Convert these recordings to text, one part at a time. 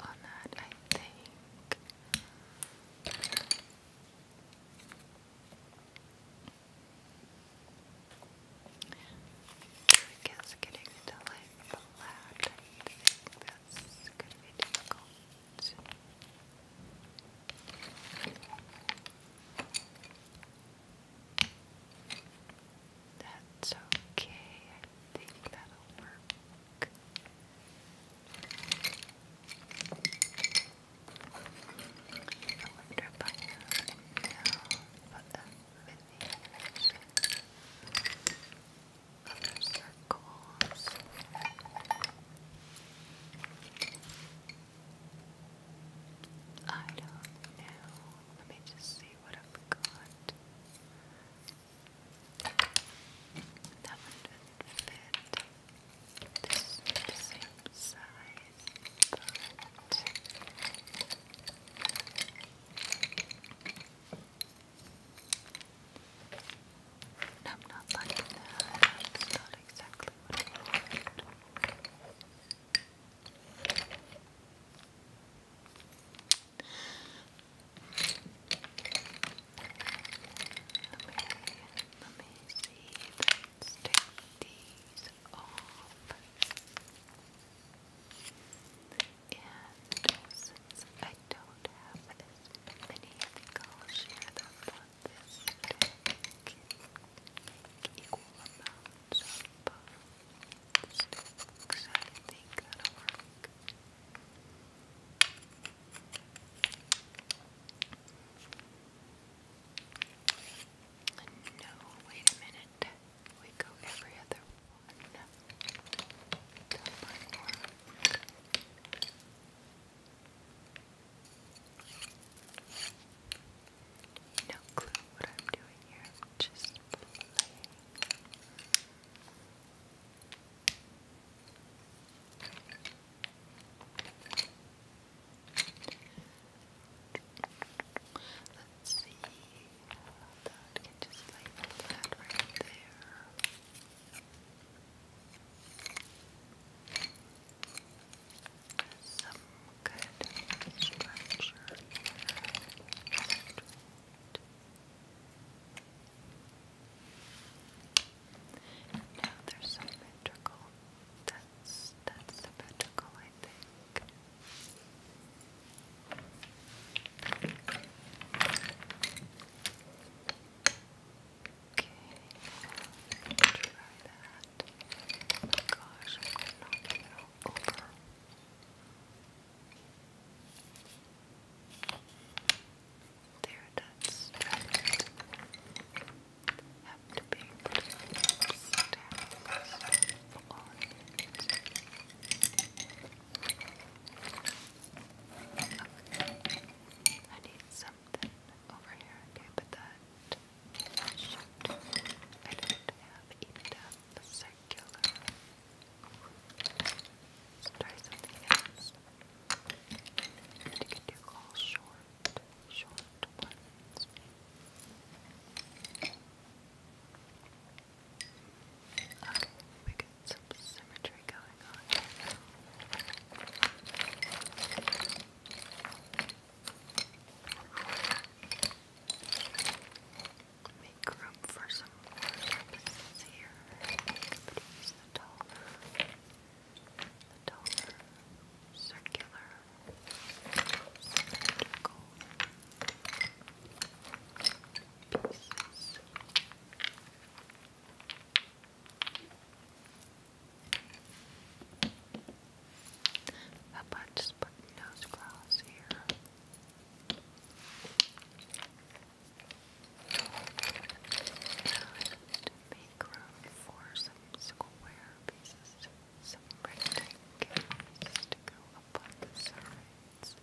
on that, I think. I guess getting into like flat, I think that's gonna be difficult. That's okay. I think that'll work. I wonder if I know the definition of the circles. I don't know. Let me just see what I've got. That one not fit. the same size, but not liking that. not exactly what I want. Let me see. take these off. And since I don't have as many, I think this deck. Make equal amounts of I think that'll work. No, wait a minute. We go every other one. No clue what I'm doing here. just playing. Let's see. That can just label that right there. Some good structure. Some now they're symmetrical. That's that's symmetrical, I think. Okay, try that. Oh gosh, I'm not even over. There, that's Have to be Okay. I need something over here. Okay, but that shoot. I don't have even a circular Let's try something else. And can do all short, short ones. Okay, we get some symmetry going make room for some more surfaces here. Please, the taller, the taller, circular, cylindrical pieces. How about just putting nose cross here? make room for some square pieces, some rectangles to go up on the sides.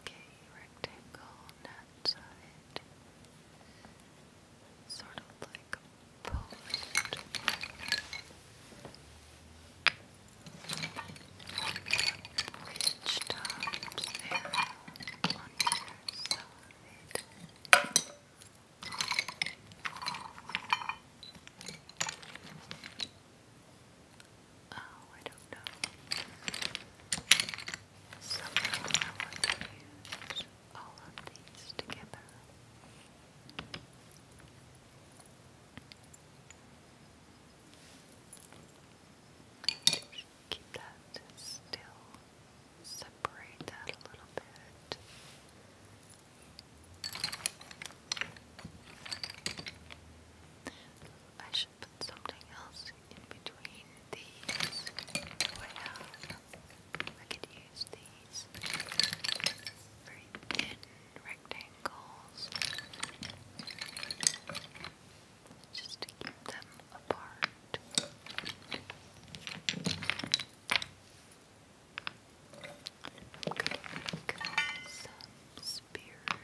Okay, rectangle on that Sort of like a post. Ridge topped arrow Oh, I don't know. Somehow I want to use all of these together. keep that still. Separate that a little bit. I should put something else in between these. Do oh, I could use these very thin rectangles just to keep them apart. i some spears.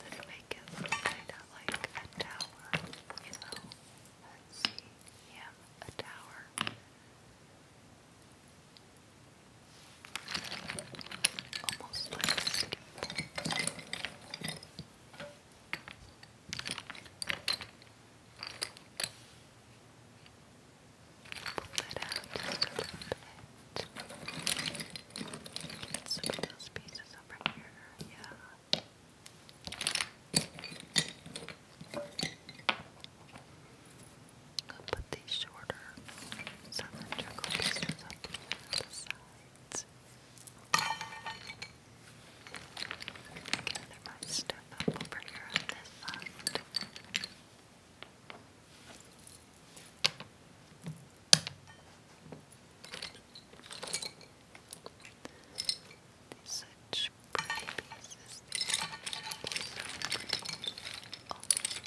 Let's make it look kind of like a tower, you know? Let's see. Yeah, a tower. Almost like a city pull it out just a little bit. Get some of those pieces over here. Yeah. I'll put these shorter cylindrical pieces up to the sides. Gather my stuff up over here on this side. Such pretty pieces. All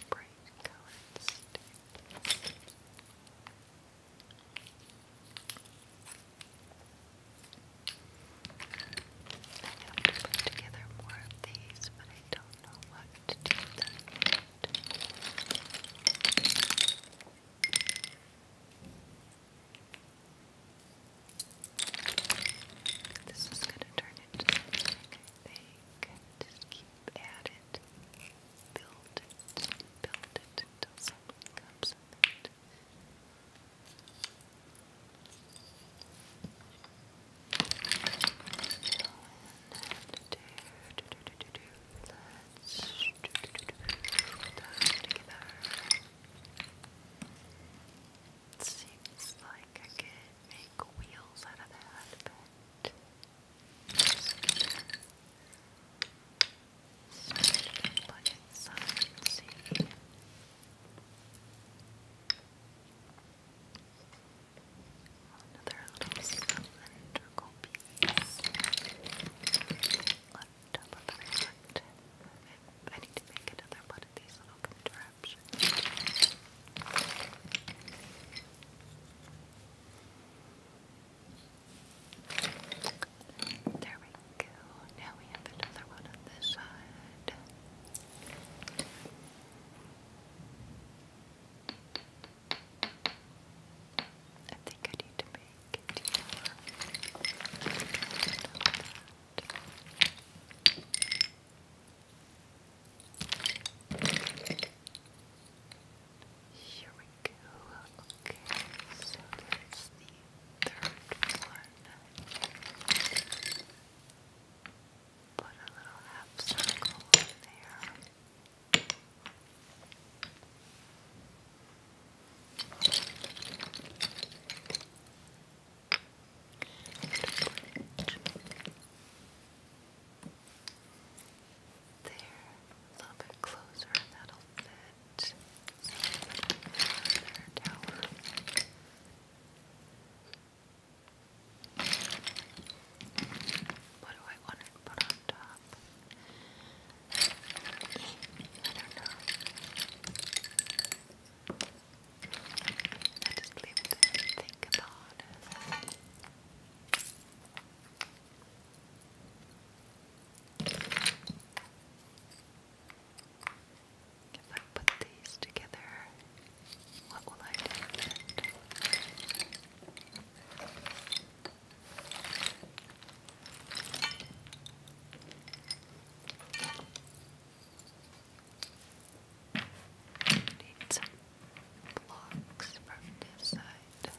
bright colored I have to put together more of these, but I don't know what have to do that. This is going to turn into something, I think. Just keep at it. Build it. Build it until something comes of it. It seems like I could make wheels out of that, but just plug inside and see. Another little cylindrical left up on the I need to make another one of these little contraptions. There we go. Now we have another one on this side. I think I need to make Here we go. Okay, so that's the third one put a little half circle in there. There, a little bit closer, and that'll fit. Another tower. What do I want to put on top? I don't know. I just leave it and think about it. If I put these together, what will I do Need some blocks from this side.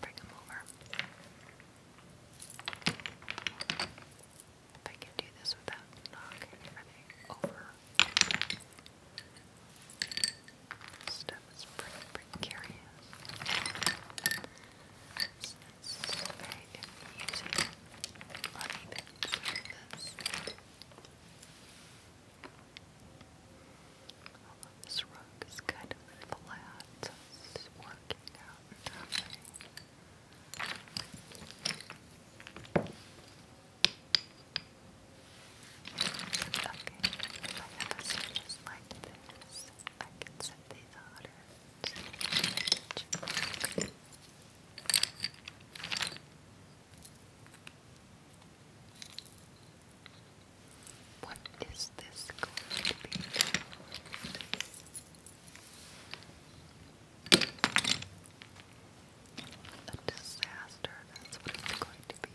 Bring them over. If I can do this without knocking everything over. This stuff is pretty precarious. It's, it's very confusing. Uneven surface. Although this rug is kind of flat, so it's working out. Nothing. Okay, I'm gonna like this. I can set these hotter. What is this going to be? A disaster, that's what it's going to be.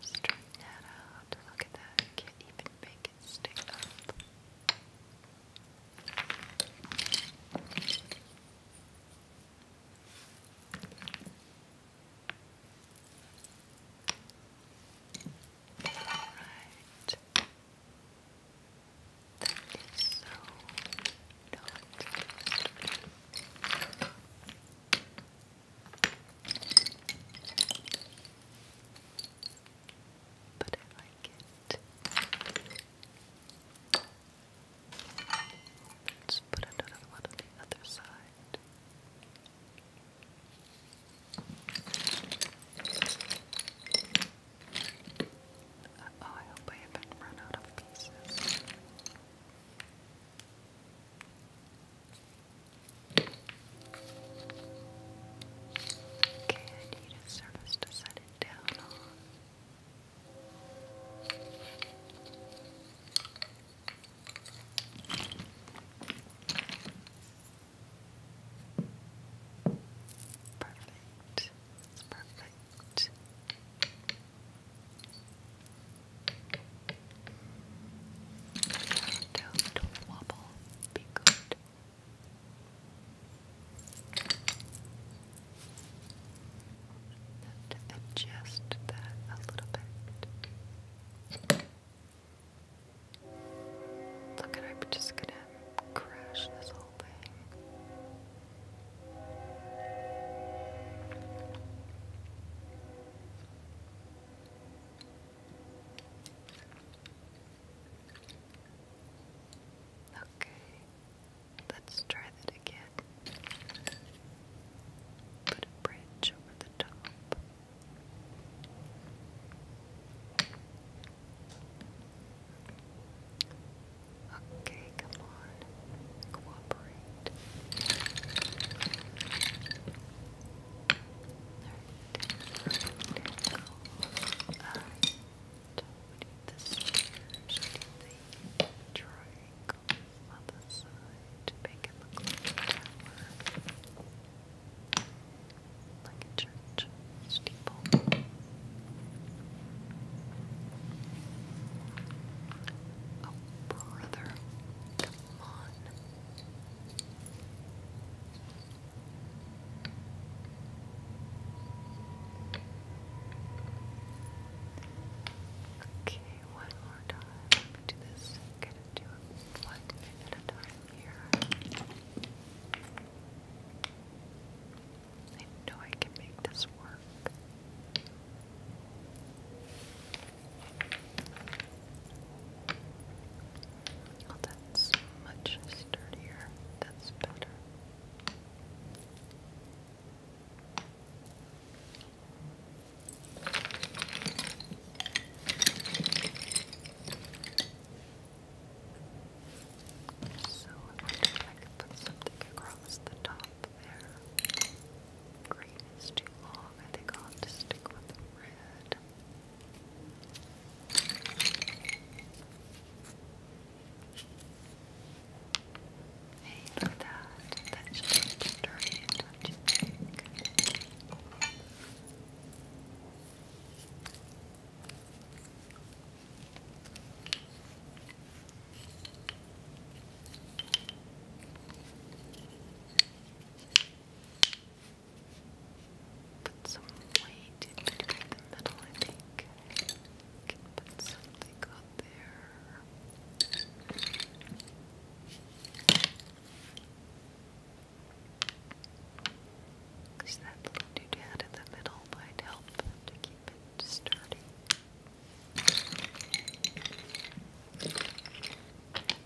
Straighten that out. Look at that. Can't even make it stick up. Right. That is so not but I like it. Let's put another one on the other side. Uh oh, I hope I haven't run out of pieces. Okay, I need a surface to set it down on. Perfect. It's perfect. Don't wobble. Be good. adjust that a little bit. Look I'm just gonna crash this whole thing. Okay, let's try that again. Put a bridge over the top. Okay, come on. Cooperate. There it is. Alright. We need this here. the triangle on side to make it look like a tower, like a church steeple. Oh, brother, come on. Okay, one more time. Let me do this. Get do it one at a time here. I know I can make this work. Oh, that's much sturdier. That's better. So I wonder if I could put something across the top there. Green is too long. I think I'll stick with red. Hey, look at that. That just turned much. Put some weight in between the middle, I think. I can put something on there. Because that little doodad in the middle might help to keep it sturdy. Okay,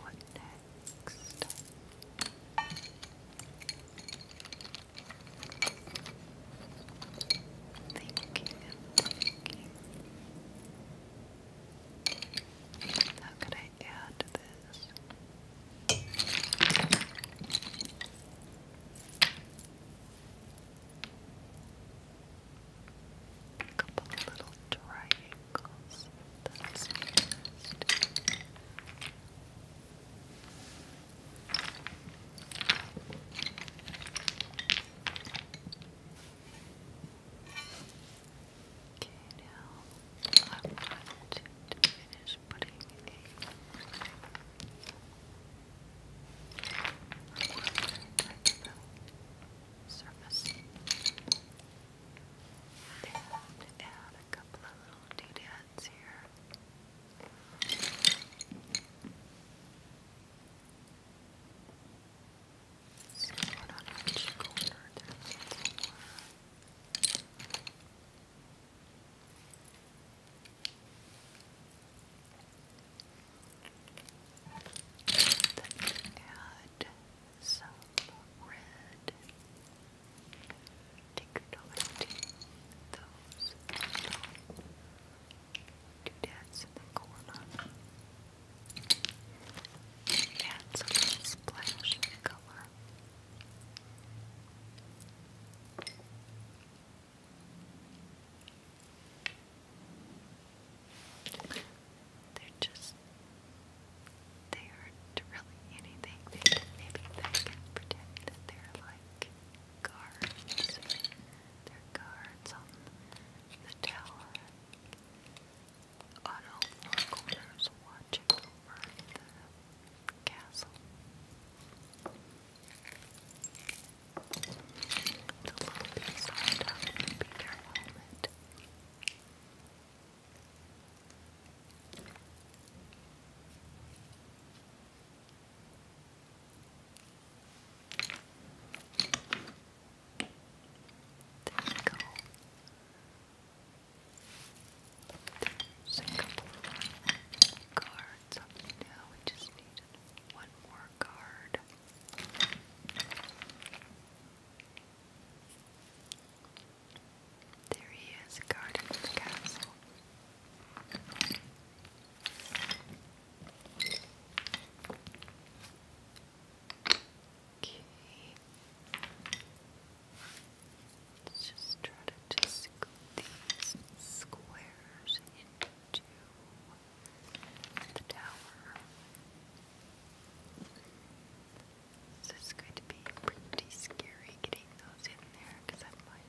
what next? Thinking and How could I add this? A couple of little triangles. That's used. Okay, now I'm going to finish putting a surface. And add a couple of little doodads here. So what on our cheek corner there's add some red take note those doodads in the corner. Add some splash color. They're just, they aren't really anything. maybe they can pretend that they're like guards. They're guards on the tower. On all four corners watching over the castle. The little piece on top would there we go. There's a couple now. We just needed one more card. There he is, guarding castle. Okay. Let's just try to just scoop these squares into the tower. This is going to be pretty scary getting those in there because I might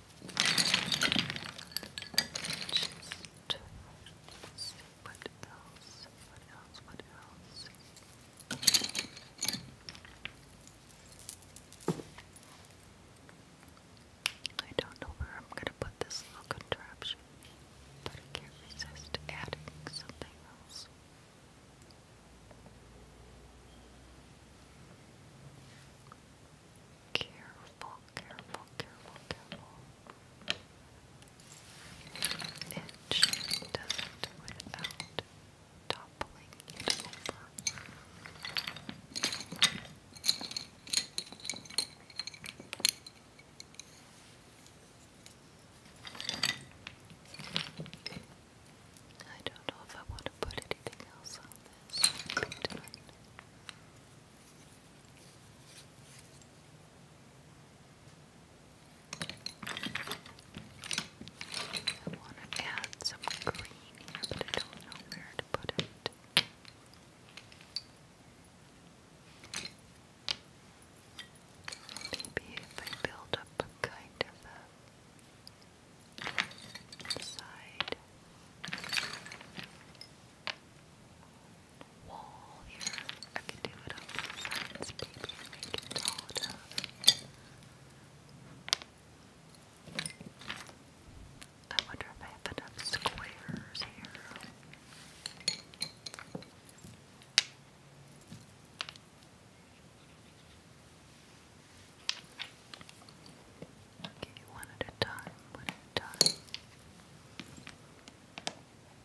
Just see what else, what else, what else. I don't know where I'm going to put this contraption, but I can't resist adding something else. Careful, careful, careful, careful. Itch does without toppling over. I don't know if I want to put anything else on this. I want to add some green but I don't know where to put it. Maybe if I build up a kind of a side wall here. I can do it on both sides, maybe, and make it tall enough. I wonder if I have enough squares here. Okay, one at a time, one at a time.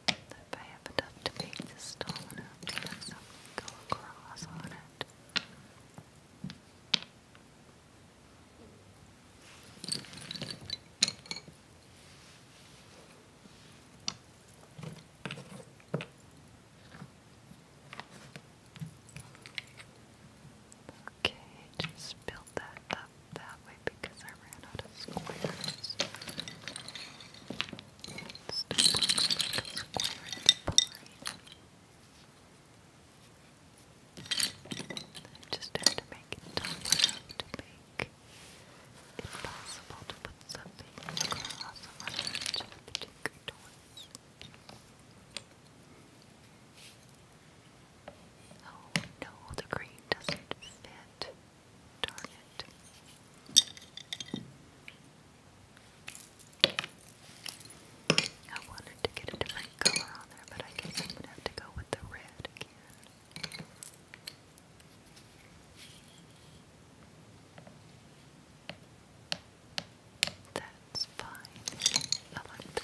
If I have enough to make this stone up, let's go across on it. Okay, just build that up that way because I ran out of squares. Still looks like a square at the point. I just it to make it possible to put something on each of the two Oh no, the green doesn't fit. Darn it. I wanted to get a different color on there, but I guess I'm gonna have to go with the red again. That that's fine. I like the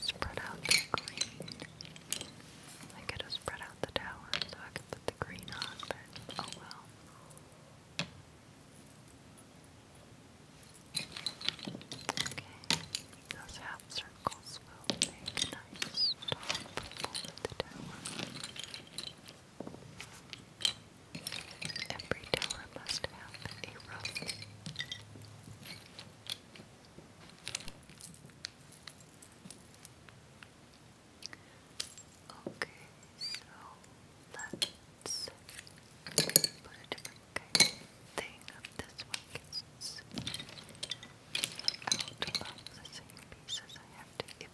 spread out the green. I gotta spread out the tower so I can put the green on, but oh well. Okay, those half circles will make nice top for the tower. Every teller must have a rough. Okay, so let's put a different thing up this one because it's out of the same pieces I have to give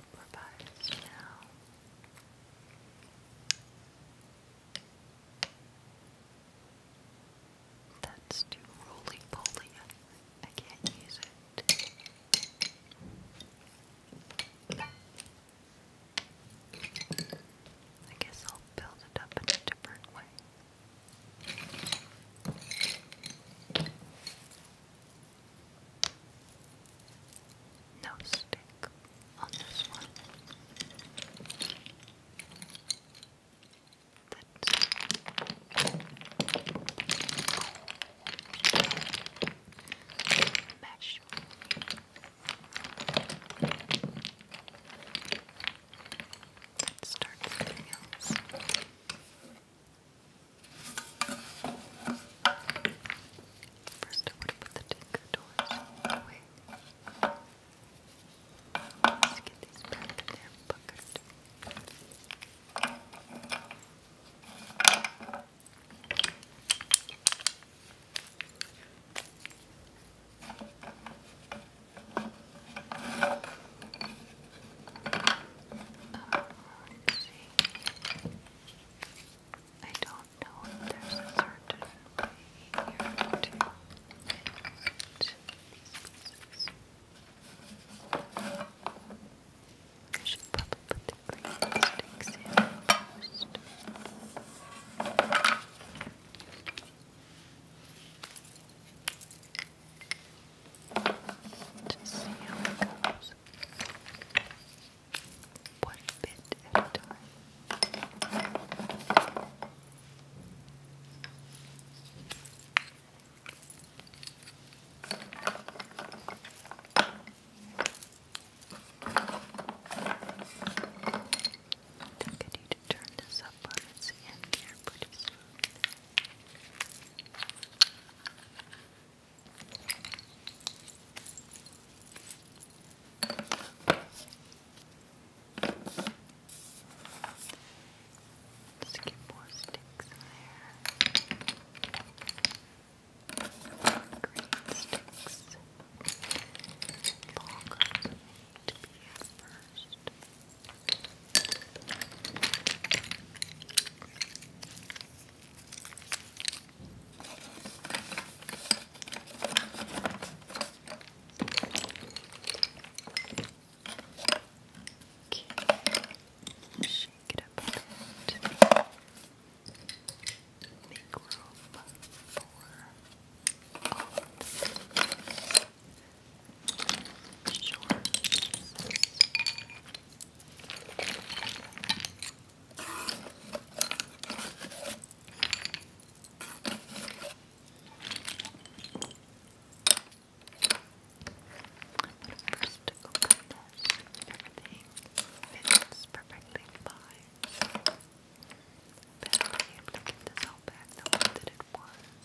that's too roly poly. I can't use it. I guess I'll build it up in a different way. No stick on this one. That's mesh. Let's start something else. First, I would put the tinker doors away. Let's get these back in their bucket. Um, uh, let's see. I don't know if there's a certain way to connect these I should probably put the green sticks just see how it goes. One bit at a time. I'm going to turn this up on its end here pretty soon. Just get more sticks in there. Green sticks. Ball comes to be at first. Green Okay. Shake it up a bit. Make room for all of the shorts first open this. Everything fits perfectly fine. Better be able to get this all back the way that it was.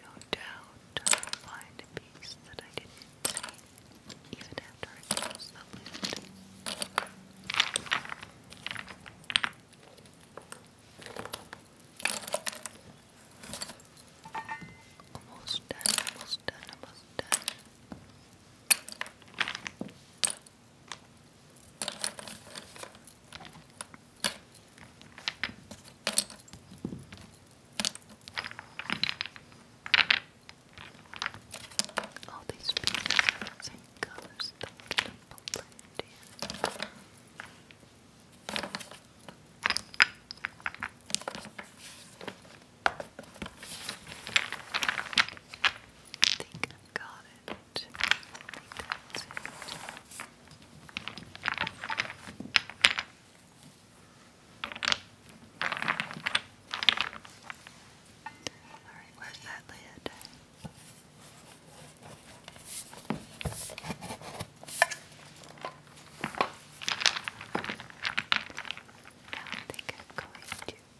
No doubt I will find a piece that I didn't see, even after I Almost done, almost done, almost done. All these pieces are the same colors that blend in. All I think i got it. where's that lid? Now I think I'm going to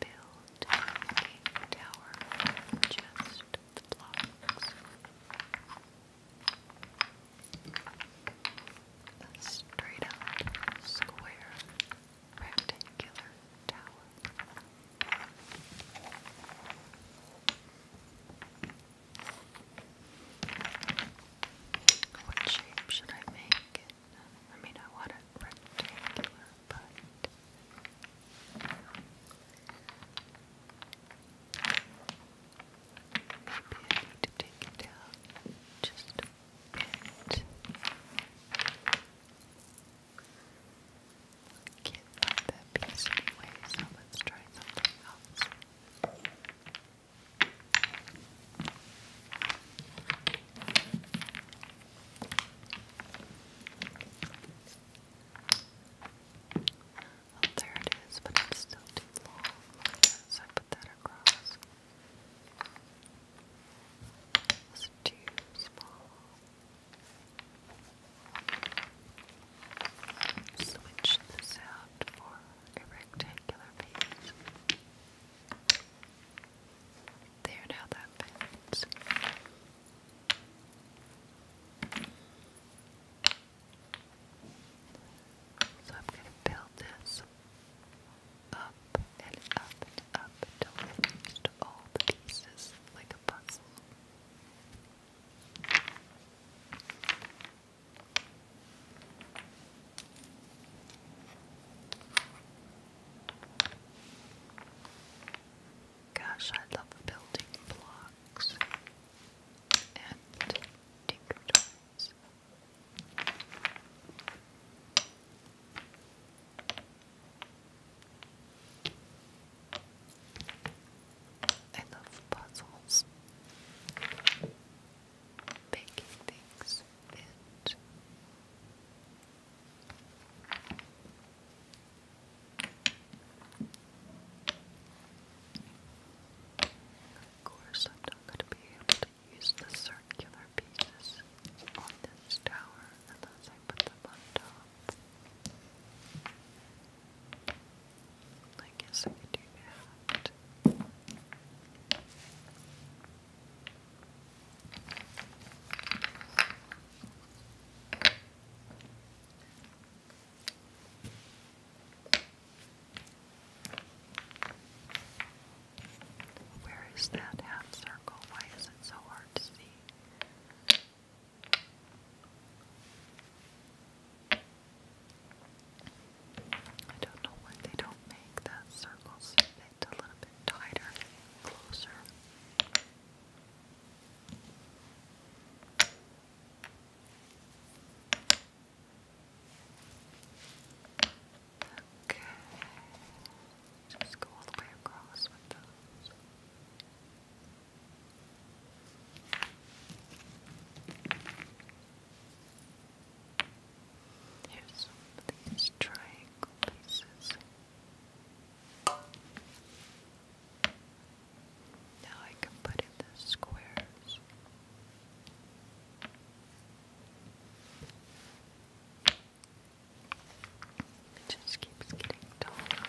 build a tower just the blocks. straight up square rectangular tower. What shape should I make? I mean, I want it rectangular, but maybe I need to take it down just a bit. can that piece anyway, so let's try something else. Oh, there it is, but it's still too long. So I put that across. It's too small. Switch this out for a rectangular there now that fits. So I'm going to build this up and up and up until i all the pieces like a puzzle. Gosh, I love building blocks and tinker toys. puzzles. Making things fit of course, I'm not going to be able to use the circular pieces on this tower unless I put them on top. I guess I could do that. Where is that half circle? Why is it so hard to see? I don't know why they don't make that circle so a little bit tighter, closer. Okay, just go all the way across with those. Here's some of these triangle pieces. Now I can put in the squares. It just keeps getting taller and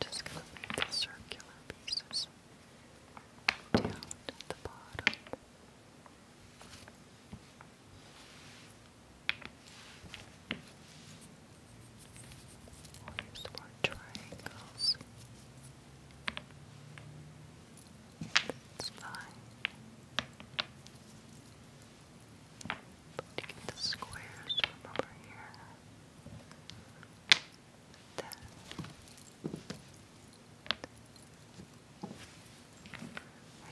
just going the circular pieces down at the bottom. Or use triangles. It's fine. But to get the squares from over here. I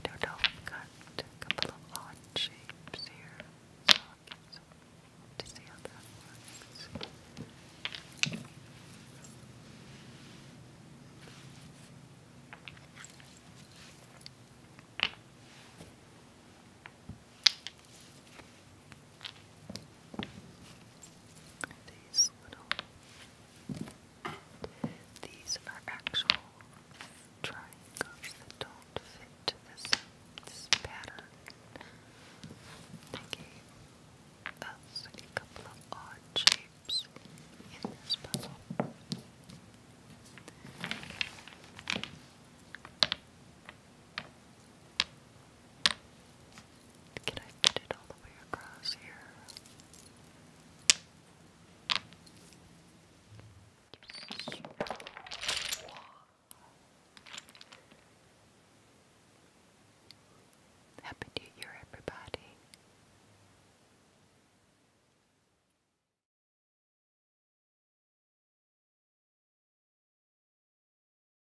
don't know, got a couple of odd shapes here, so i to see how that works. These little, these are actual triangles that don't fit this, this pattern. They gave us a couple odd shapes in this puzzle. Can I put it all the way across here? Happy New Year, everybody.